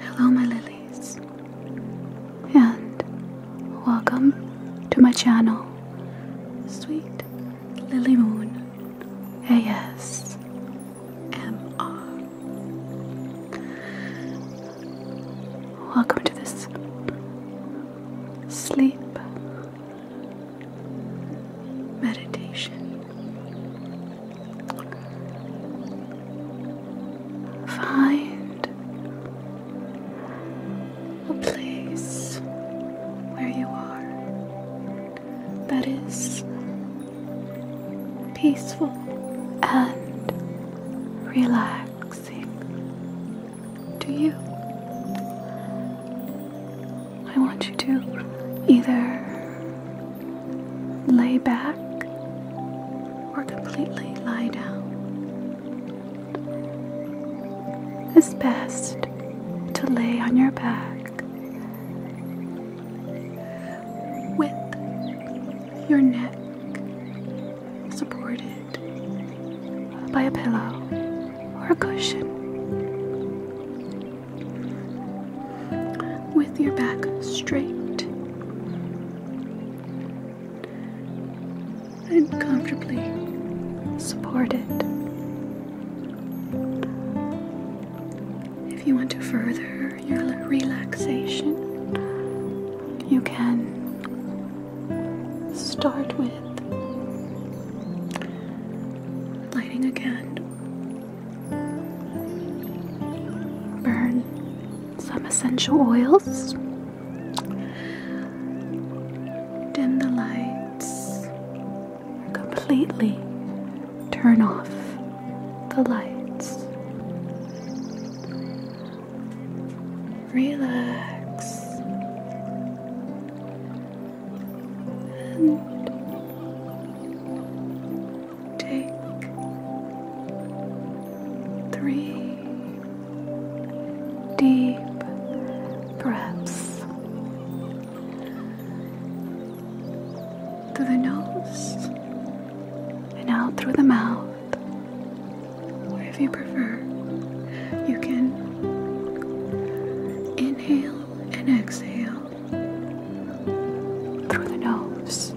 Hello, my lilies, and welcome to my channel, Sweet Lily Moon ASMR. Welcome to this sleep, meditation, find a place where you are that is peaceful and relaxing. Do you. I want you to either lay back or completely lie down. It's best to lay on your back with your neck supported by a pillow or a cushion. With your back straight and comfortably supported. If you want to further your relaxation, you can start with lighting a candle. Burn some essential oils. Dim the lights. Completely turn off the lights relax and take three deep breaths through the nose and out through the mouth if you prefer. You can inhale and exhale through the nose.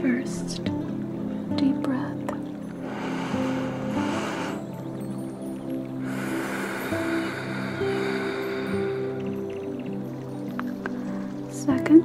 First, deep breath. Second,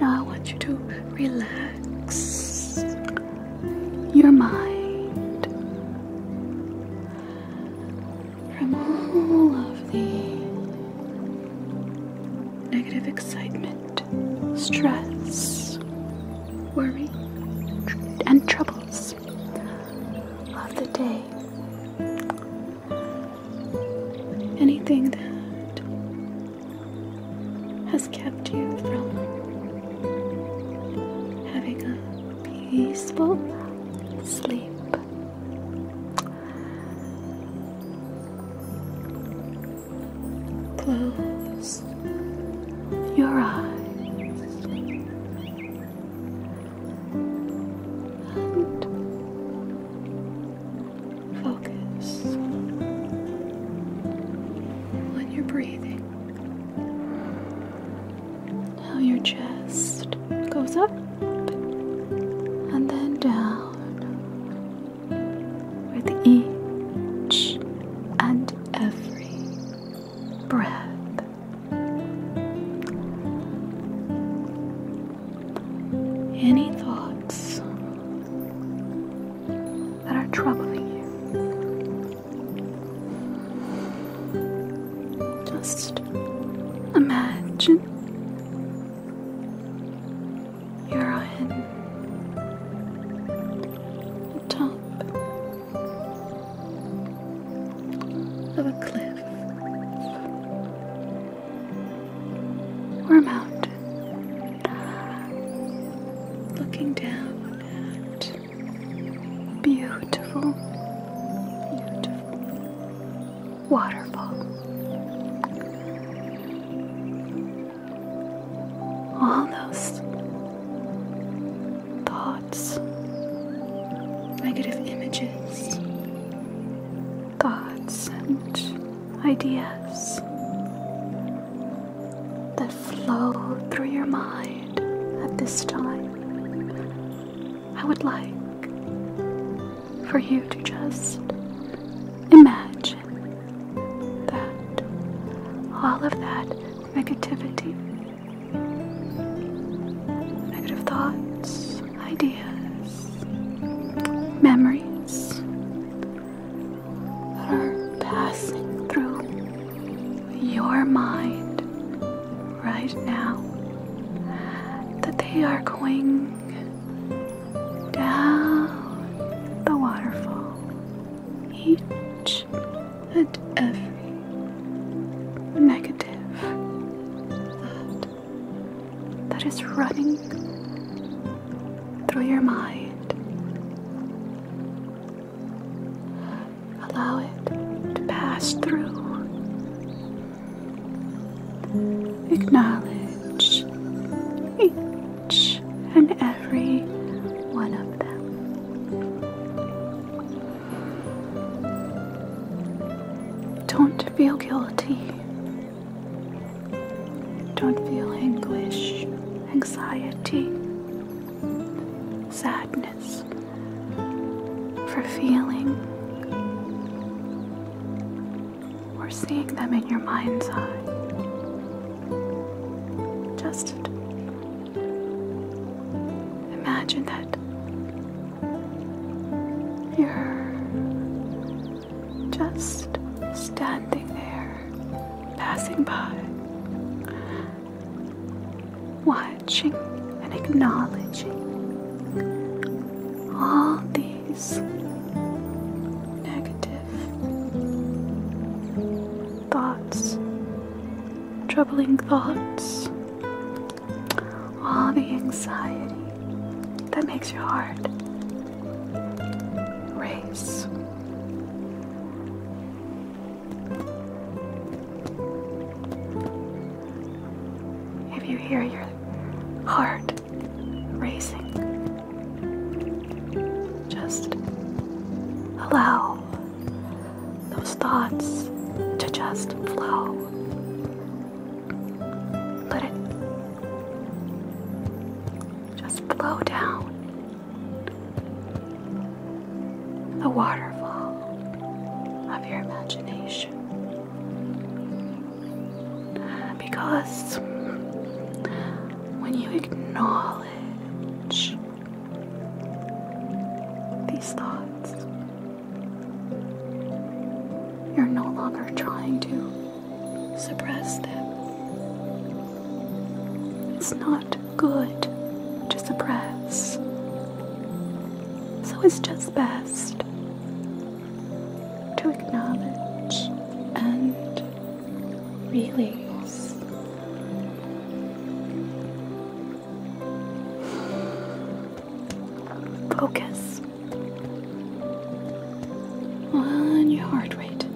Now I want you to relax your mind from all of the negative excitement, stress, worry, and troubles of the day anything that has kept you from having a peaceful sleep. Close your eyes Focus on your breathing. How your chest goes up and then down with each and every breath any thoughts that are troubling you. Just imagine you're on the top of a cliff. We're out, looking down at beautiful, beautiful waterfall. All those thoughts, negative images, thoughts and ideas that flow through your mind at this time, I would like for you to just imagine that all of that negativity, negative thoughts, ideas, memories that are passing through your mind right now, that they are going down the waterfall each and every negative thought that is running through your mind. Allow it to pass through. Acknowledge each and every one of them. Don't feel guilty don't feel anguish, anxiety, sadness for feeling or seeing them in your mind's eye. Just imagine that you're just standing there, passing by, watching and acknowledging all these negative thoughts, troubling thoughts, all the anxiety that makes your heart race. If you hear your heart racing, just allow those thoughts to just flow let it just flow down the waterfall of your imagination. Because when you acknowledge these thoughts, you're no longer trying to suppress them. It's not good to suppress. So it's just best to acknowledge and release. Focus on your heart rate.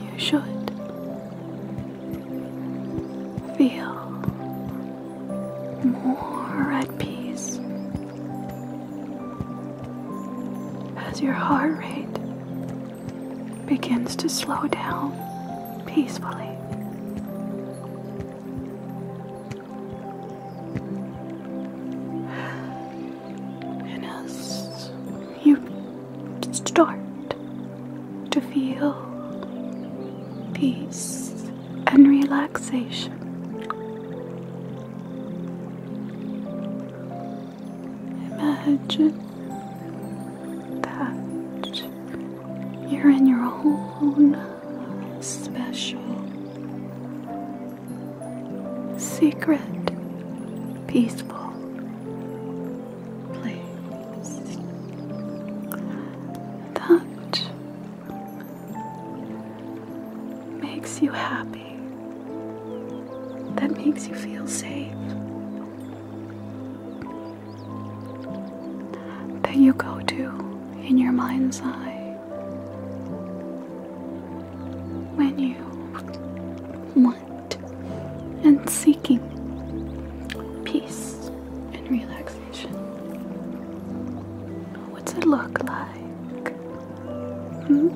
You should feel more at peace as your heart rate begins to slow down peacefully. And as you start to feel peace and relaxation, imagine that you're in your own special, secret, peaceful place. That makes you happy, that makes you feel safe that you go to in your mind's eye when you want and seeking peace and relaxation. What's it look like? Hmm?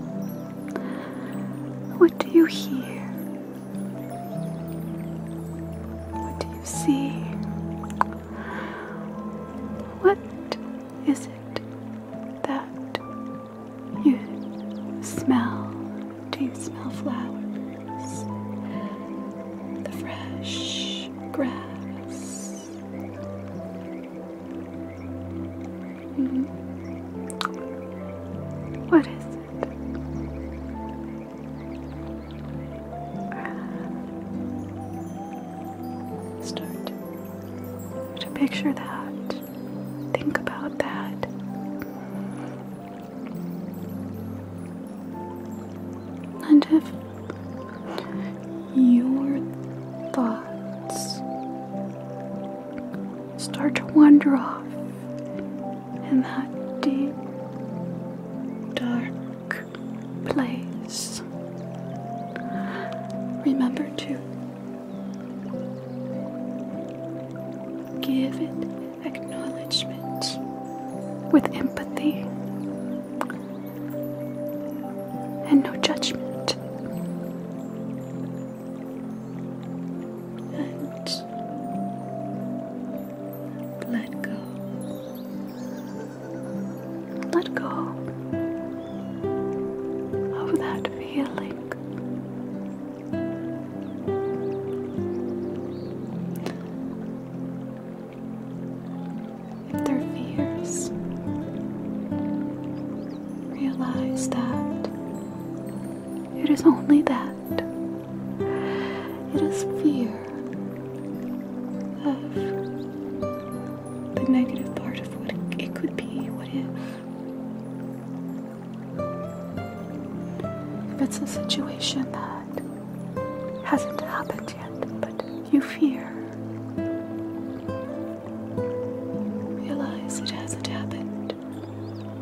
What do you hear? see. What is it that you smell? Do you smell flowers? The fresh grass. Hmm? What is it? Uh, start to picture that. Think about that. And if your thoughts start to wander off in that deep, dark, place. Remember to give it acknowledgement with empathy and no judgment. And let go let go of that feeling. If they're fears, realize that it is only that. It is fear of the negative part of what it could be, what if. If it's a situation that hasn't happened yet, but you fear. Realize it hasn't happened,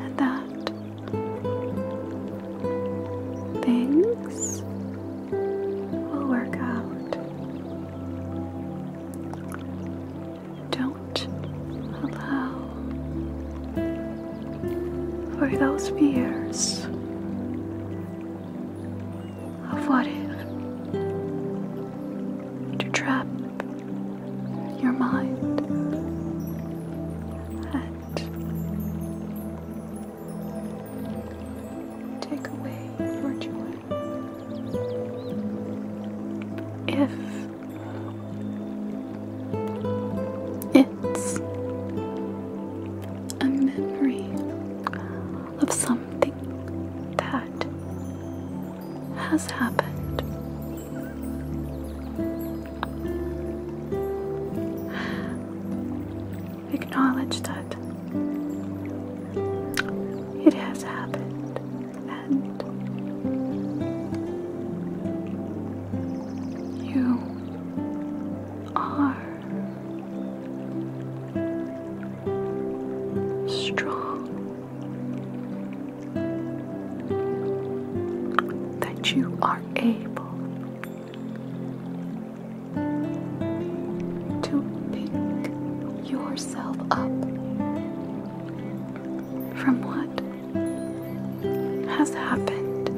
and that things will work out. Don't allow for those fears of what if to trap your mind take away your joy. If it's a memory of something that has happened acknowledge that it has happened and you are strong, that you are able to pick yourself up from what has happened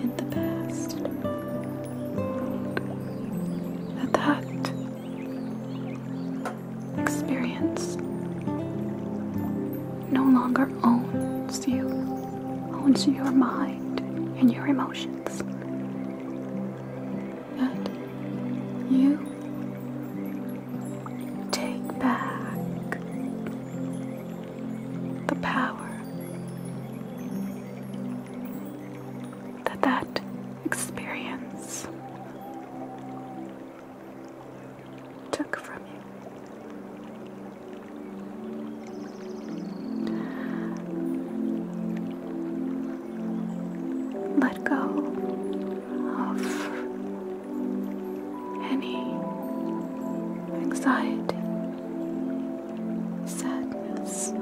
in the past. That that experience no longer owns you, owns your mind and your emotions. That you take back the power that that experience took from you. Let go of any anxiety, sadness,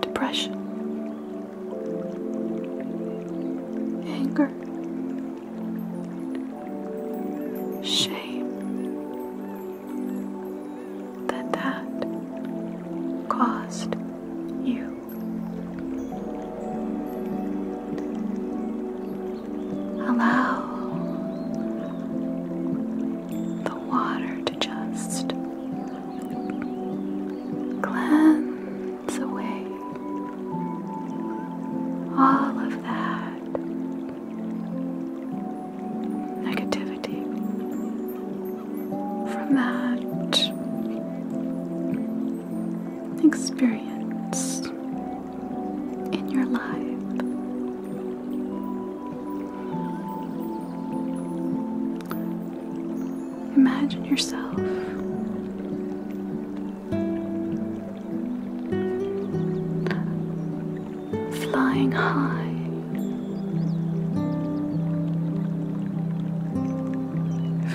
depression, anger shame that that caused you. Allow the water to just cleanse away all of that negativity from that experience in your life. Imagine yourself flying high.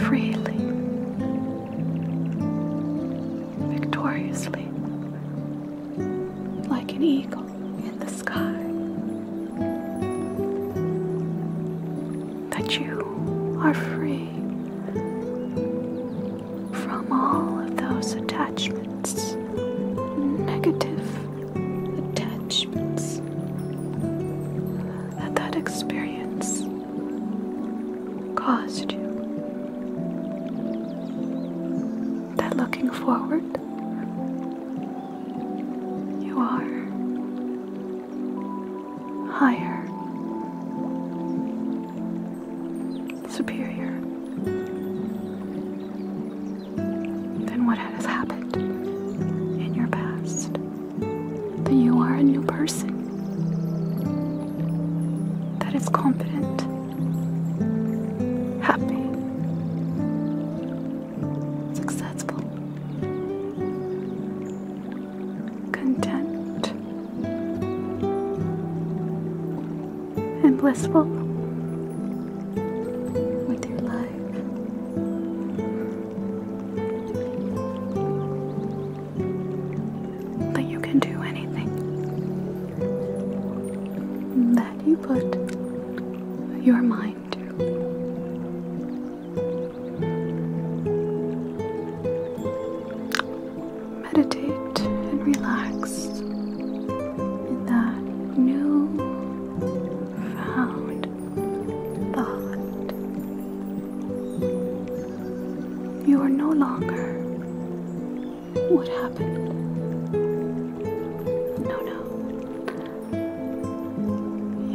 Freely, victoriously, like an eagle in the sky, that you are free from all of those attachments, negative attachments that that experience caused you. That looking forward, you are higher superior than what has happened in your past. That you are a new person that is confident, happy, successful, content and blissful with your life. That you can do anything that you put your mind to meditate and relax in that new found thought. You are no longer what happened. No, no.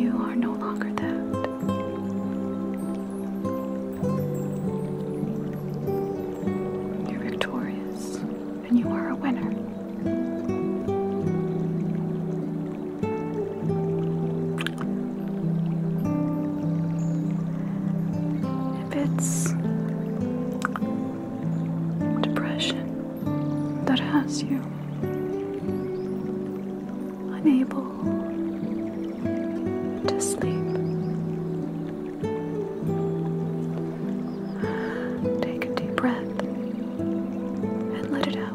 You are no longer that. You're victorious and you are a winner. If it's depression that has you unable to sleep, Take a deep breath and let it out.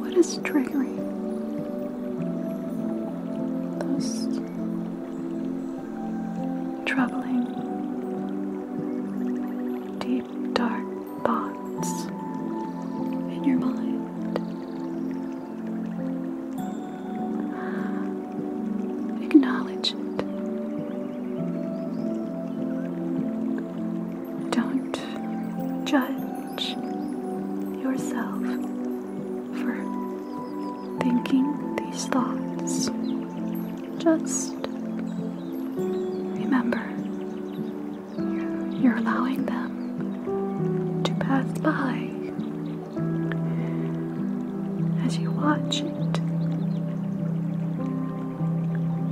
What is triggering those troubling, deep dark thoughts in your mind. Acknowledge it. Don't judge yourself for thinking these thoughts. Just remember you're allowing them to pass by as you watch it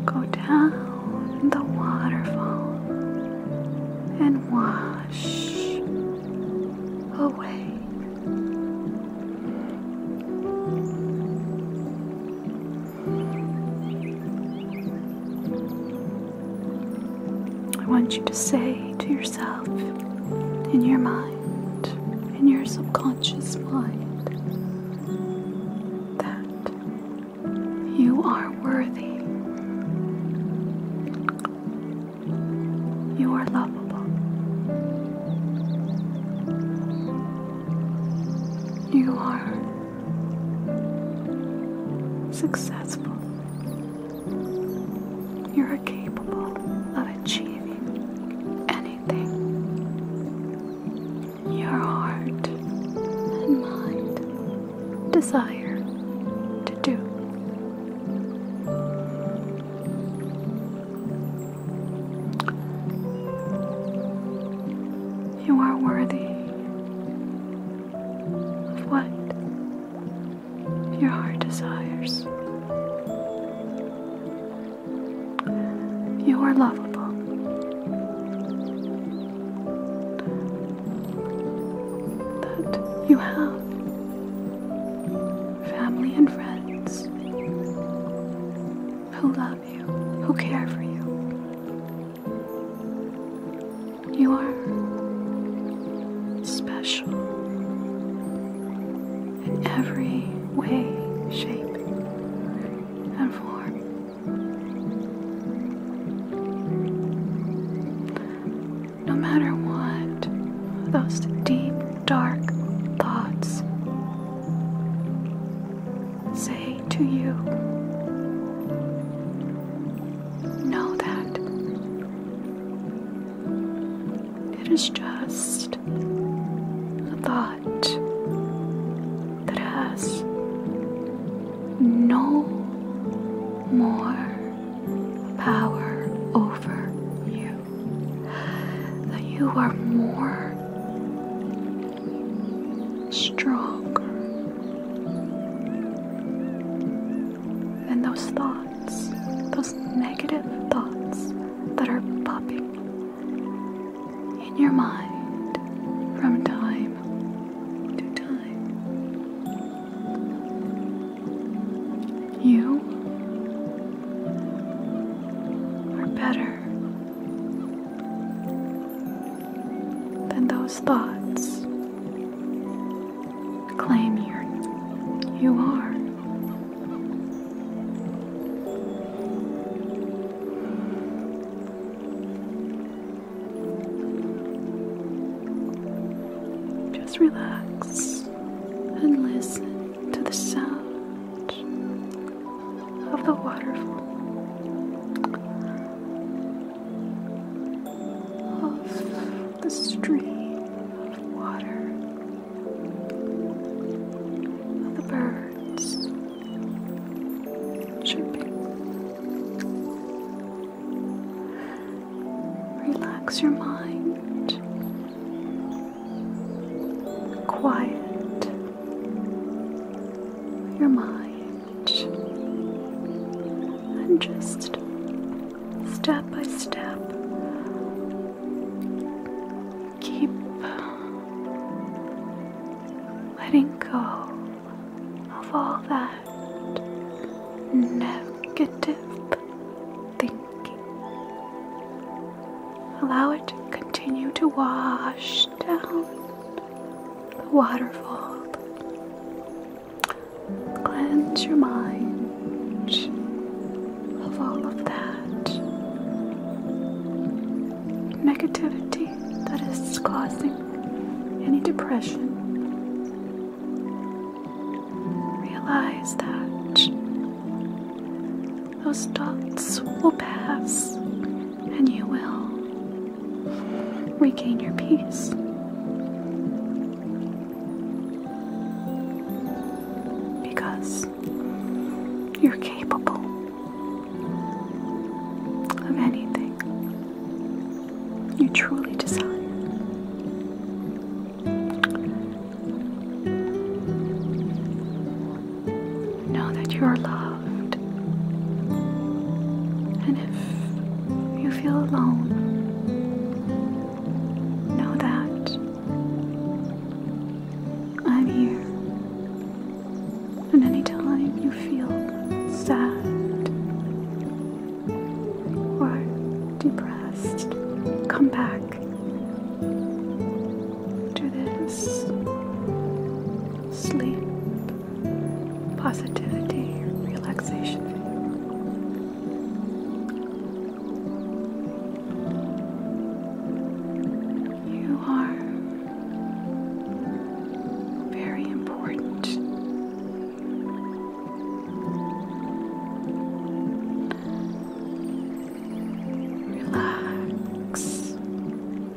go down the waterfall and wash away. I want you to say to yourself, in your mind, in your subconscious mind, that you are worthy, you are lovable, you are successful. You are capable of achieving anything your heart and mind desire to do. You are worthy of what your heart desires. You are lovable. That you have family and friends who love you, who care for you. You are special in every way, shape, and form. No matter what those deep, dark thoughts say to you. Know that it is just a thought that has no more power over you, that you are more stronger than those thoughts, those negative thoughts that are popping in your mind from time to time. You are better then those thoughts claim you you are. Just relax and listen to the sound of the waterfall of the stream of water, of the birds chirping. Relax your mind. Quiet your mind. And just step by step, keep letting go of all that negative thinking. Allow it to continue to wash down the waterfall. Cleanse your mind of all of that negativity that is causing any depression. Realize that those thoughts will pass and you will regain your peace. Because you're capable of anything you truly desire. Know that you are loved. And if you feel alone, know that I'm here. And anytime you feel sad or depressed, come back to this sleep positivity, relaxation. You are very important. Relax.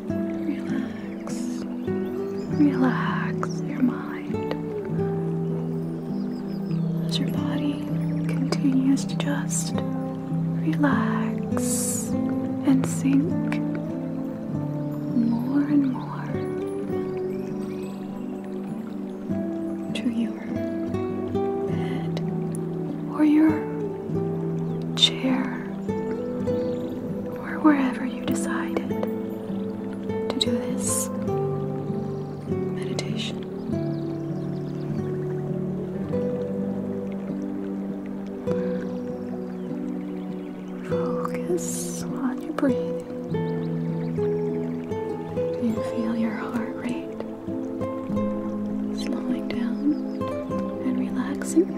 Relax relax, your mind as your body continues to just relax and sink more and more to your bed or your chair or wherever you decided to do this meditation. Focus on your breathing. You feel your heart rate slowing down and relaxing.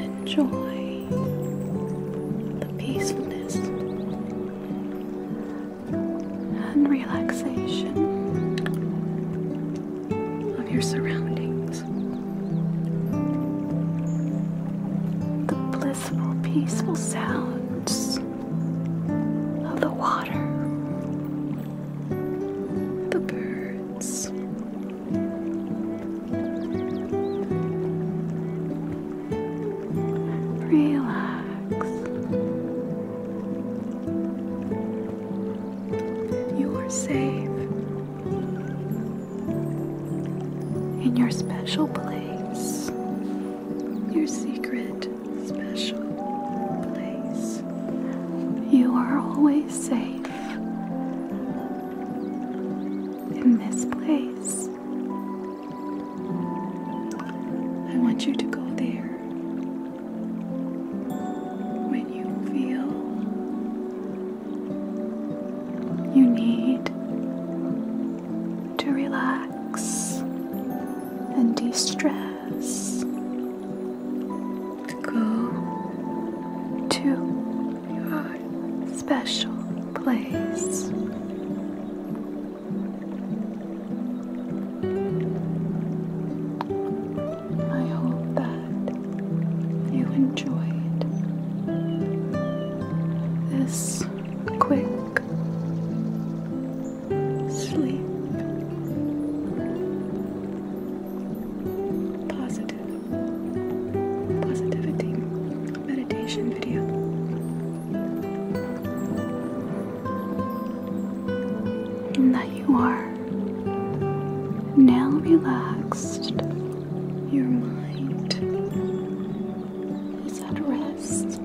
Enjoy the peacefulness and relaxation of your surroundings. The blissful, peaceful sounds of the water, the birds. Relax. You are safe in your special place, your secret special place. You are always safe in this place. I want you to go there when you feel you need to relax and de stress, go to your special place. I hope that you enjoyed this quick sleep. positivity meditation video. And that you are now relaxed, your mind is at rest,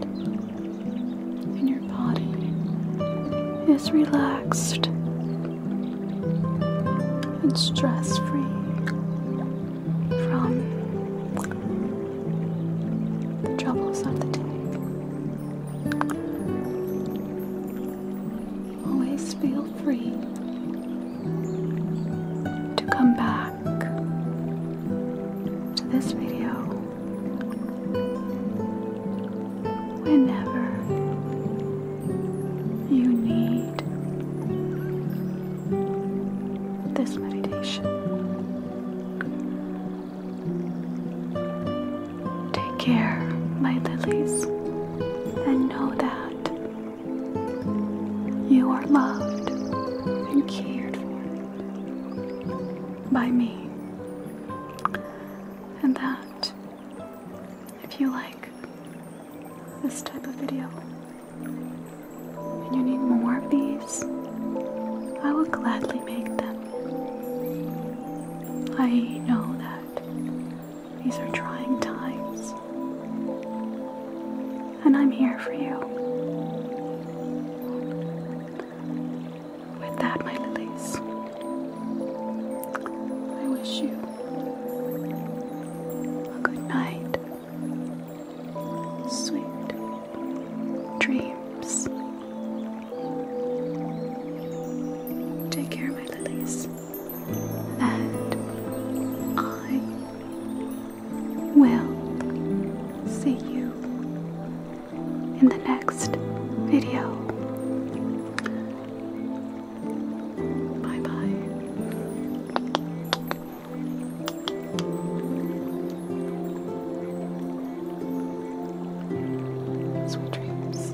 and your body is relaxed and stress free from the troubles of the day always feel free to come back to this video whenever you need this meditation. Take care, my lilies, and know that you are loved and cared for by me. And that if you like this type of video and you need more of these, I will gladly make them. I know that these are trying times. And I'm here for you. With that, my lilies, I wish you a good night. Sweet dreams. Take care, my lilies and I will see you in the next video. Bye bye. Sweet dreams.